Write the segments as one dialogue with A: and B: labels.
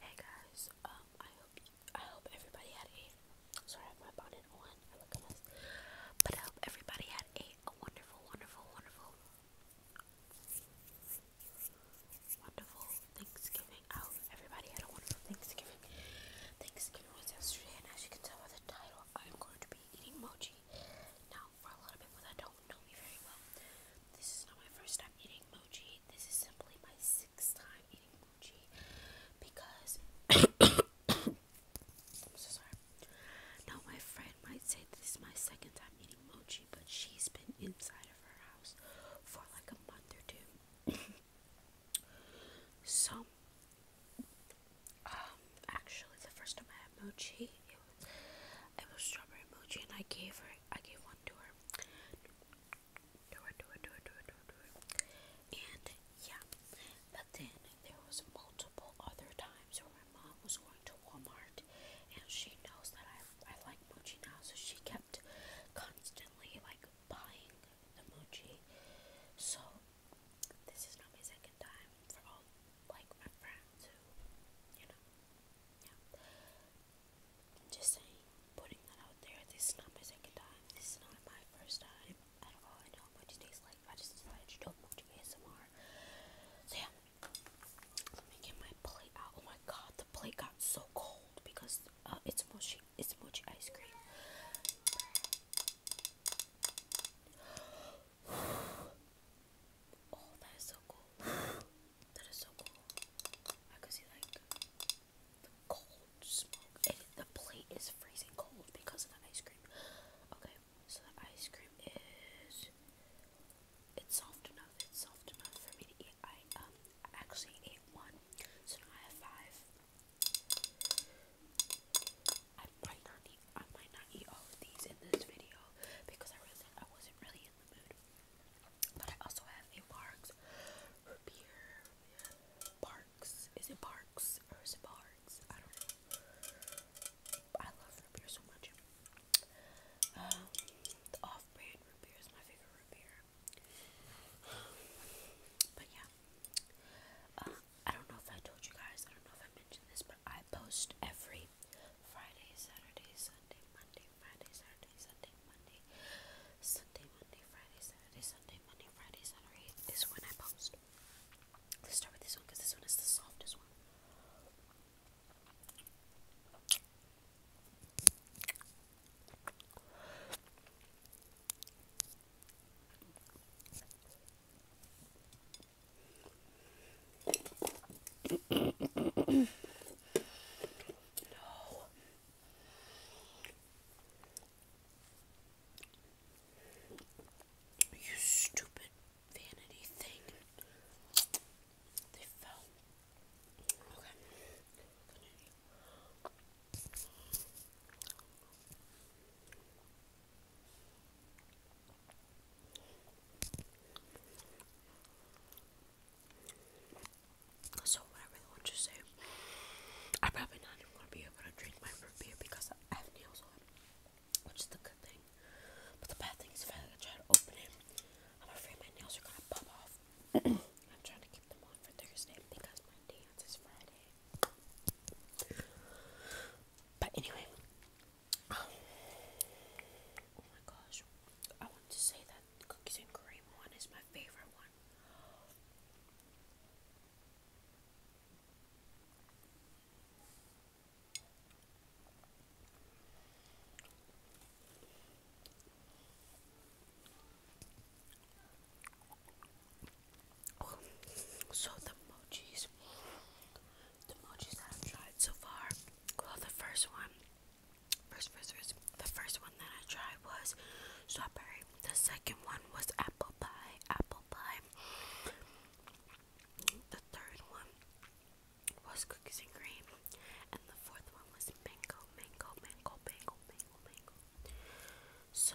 A: Hey guys, um, I hope I hope everybody had a sorry I have my bonnet on. but I hope everybody had a, wonderful, wonderful, wonderful, wonderful Thanksgiving. I everybody had a wonderful Thanksgiving. Thanksgiving was yesterday, and as you can tell by the title, I'm going to be eating mochi now for a little bit because I don't know me very well, this is not my first time eating mochi. This is simply my sixth time eating mochi because I'm so sorry. Now my friend might say this is my second time eating mochi, but she's been inside of her house for like a month or two. so um actually the first time I had mochi it was it was strawberry mochi and I gave her I gave one to her. To her, to her, to her, to her, to her, And yeah, but then there was multiple other times where my mom was going to Walmart, and she knows that I I like mochi now, so she kept constantly like buying the mochi. So this is not my second time for all like my friends who, you know, yeah. Just saying, putting that out there. This is not my second time. This is not my first time at all. I know what it tastes like. I just decided to do a ASMR. So yeah, let me get my plate out. Oh my god, the plate got so cold because uh, it's mochi. It's mochi ice cream. Oh, that is so cool. that is so cool. I could see like the cold And the plate is freezing cold because of the ice cream. Okay, so the ice cream is it's soft enough. soft enough for me to eat. I um actually ate one, so now I have five. I might not need I might not eat all of these in this video because I wasn't I wasn't really in the mood. But I also have a Parks beer. Parks. Is it Parks or is it Parks? I don't know. I love root beer so much. Um, the off-brand root beer is my favorite root beer. But yeah, uh, I don't know if I told you guys. I don't know if I mentioned this, but I post every Friday, Friday, Saturday, Sunday, Monday, Friday, Saturday, Sunday, Monday, Sunday, Monday, Friday, Saturday, Sunday, Monday, Friday, Saturday is when I post. Let's start with this one because this one is the softest one no. You stupid vanity thing. They fell. Okay. So what I really want to say, I'm probably not even gonna be able to drink my root beer because I have nails on, which is the good thing. But the bad thing is if I try to open it, I'm afraid my nails are gonna pop off. I'm trying to keep them on for Thursday because my dance is Friday. But anyway, oh my gosh, I want to say that cookies and cream one is my favorite one. So the emojis, the emojis that I've tried so far. the first one, first, first, first, the first one that I tried was strawberry. The second one was apple pie, apple pie. The third one was cookies and cream, and the fourth one was mango, mango, mango, mango, mango, mango. So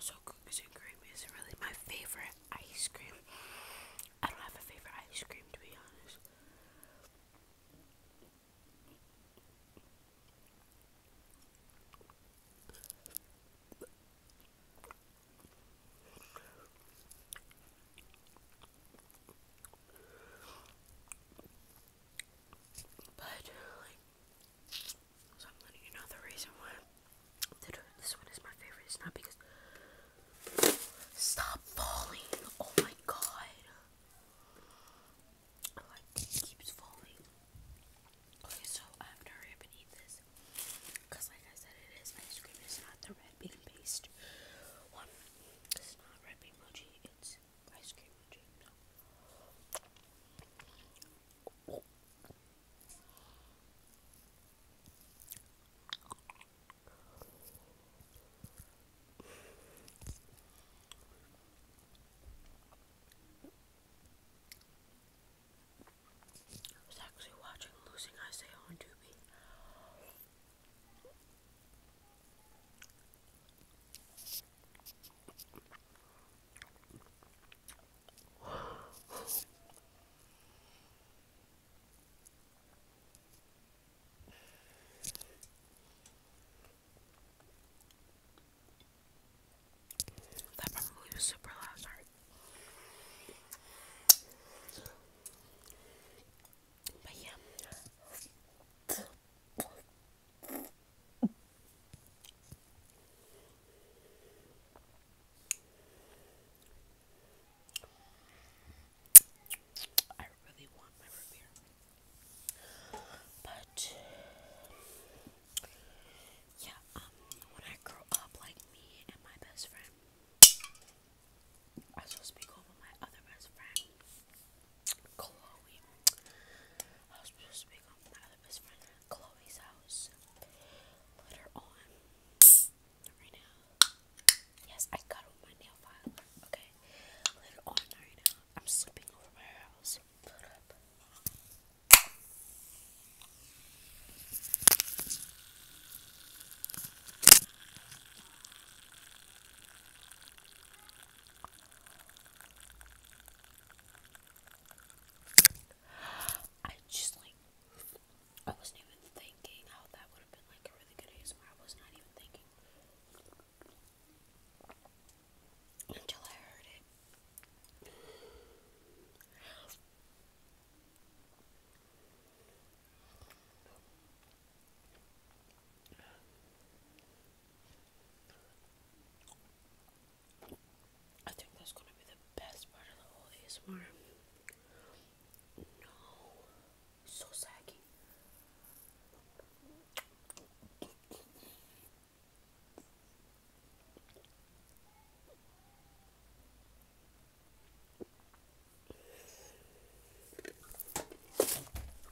A: So cookies and cream is really my favorite ice cream. I don't have a favorite ice cream to be honest. But like so I'm letting you know the reason why this one is my favorite It's not because Stop falling. Oh my god. like oh, keeps falling. Okay, so I have to hurry up and eat this. Cause like I said it is ice cream, it's not the red bean paste it's not red bean it's ice cream mochi. No. I was actually watching Losing Isaiah on Tubi. That probably was super loud, but yeah. But yeah, um when I grow up like me and my best friend I am supposed to be going my other best friend, Chloe. I was supposed to be going my other best friend Chloe's house later on. right now. Yes, I got it my nail file. Okay. Later on right I'm sleeping over my house. Put up. I just like I wasn't even thinking how that would have been like a really good ASMR. I was not even thinking until I heard it. I think that's gonna be the best part of the whole ASMR. No, so saggy.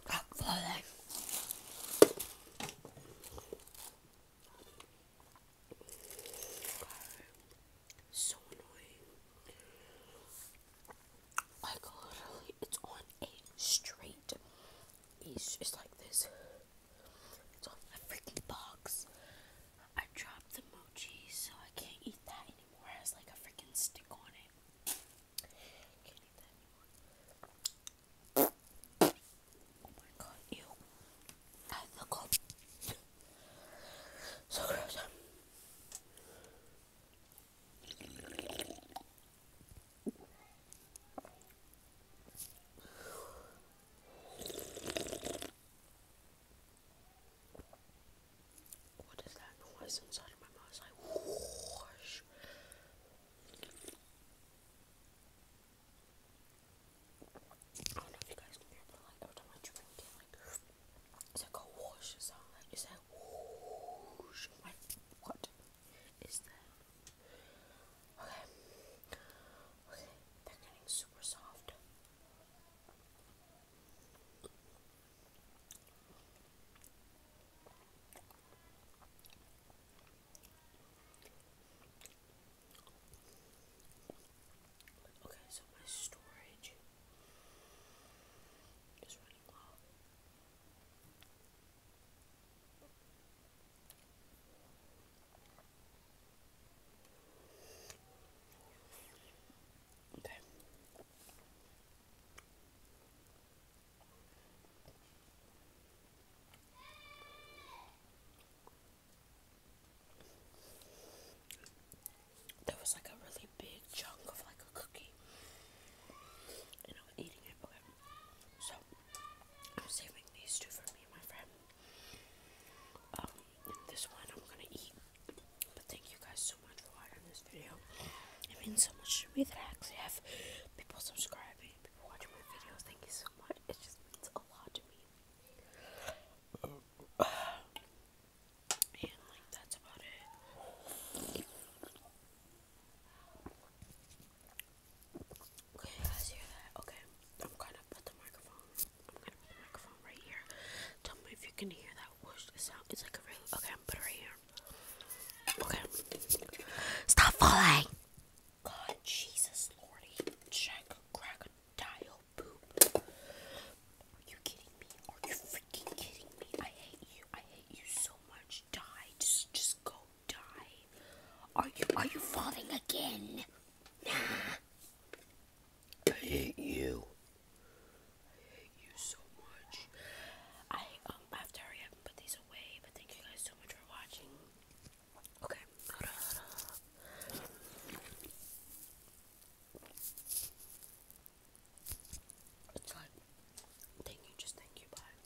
A: Rock falling. So annoying. Like literally, it's on a straight. It's just like this. It's on a freaking box. I dropped the mochi, so I can't eat that anymore. It has like a freaking stick on it. Oh my god, ew. I look up. So gross. What is that noise inside of my mouth? like whoosh. I don't know if you guys can hear, but like every time I drink it, like it's like a whoosh sound. Like it's like whoosh. like what is that? Okay, okay, they're getting super soft. Okay, so my storage is running low. Okay. There was like a really big chunk of like a cookie. And I was eating it, okay. So I'm saving these two for me my friend. Um, this one I'm gonna eat. But thank you guys so much for watching this video. It means so much to me that I actually have people subscribing, people watching my videos. Thank you so much. It just means a lot to me. And like that's about it. Okay, guys hear that? Okay, I'm gonna put the microphone. I'm gonna put the microphone right here. Tell me if you can hear that whoosh sound. It's like a really okay. I'm put it right here. Okay. Stop falling. God, Jesus, Lordy, check, crack, poop. Are you kidding me? Are you freaking kidding me? I hate you. I hate you so much. Die. Just, just go die. Are you are you falling again? Nah. I hate you. I hate you so much. I um I put these away, but thank you guys so much for watching. Okay, hold It's like thank you, just thank you, bye.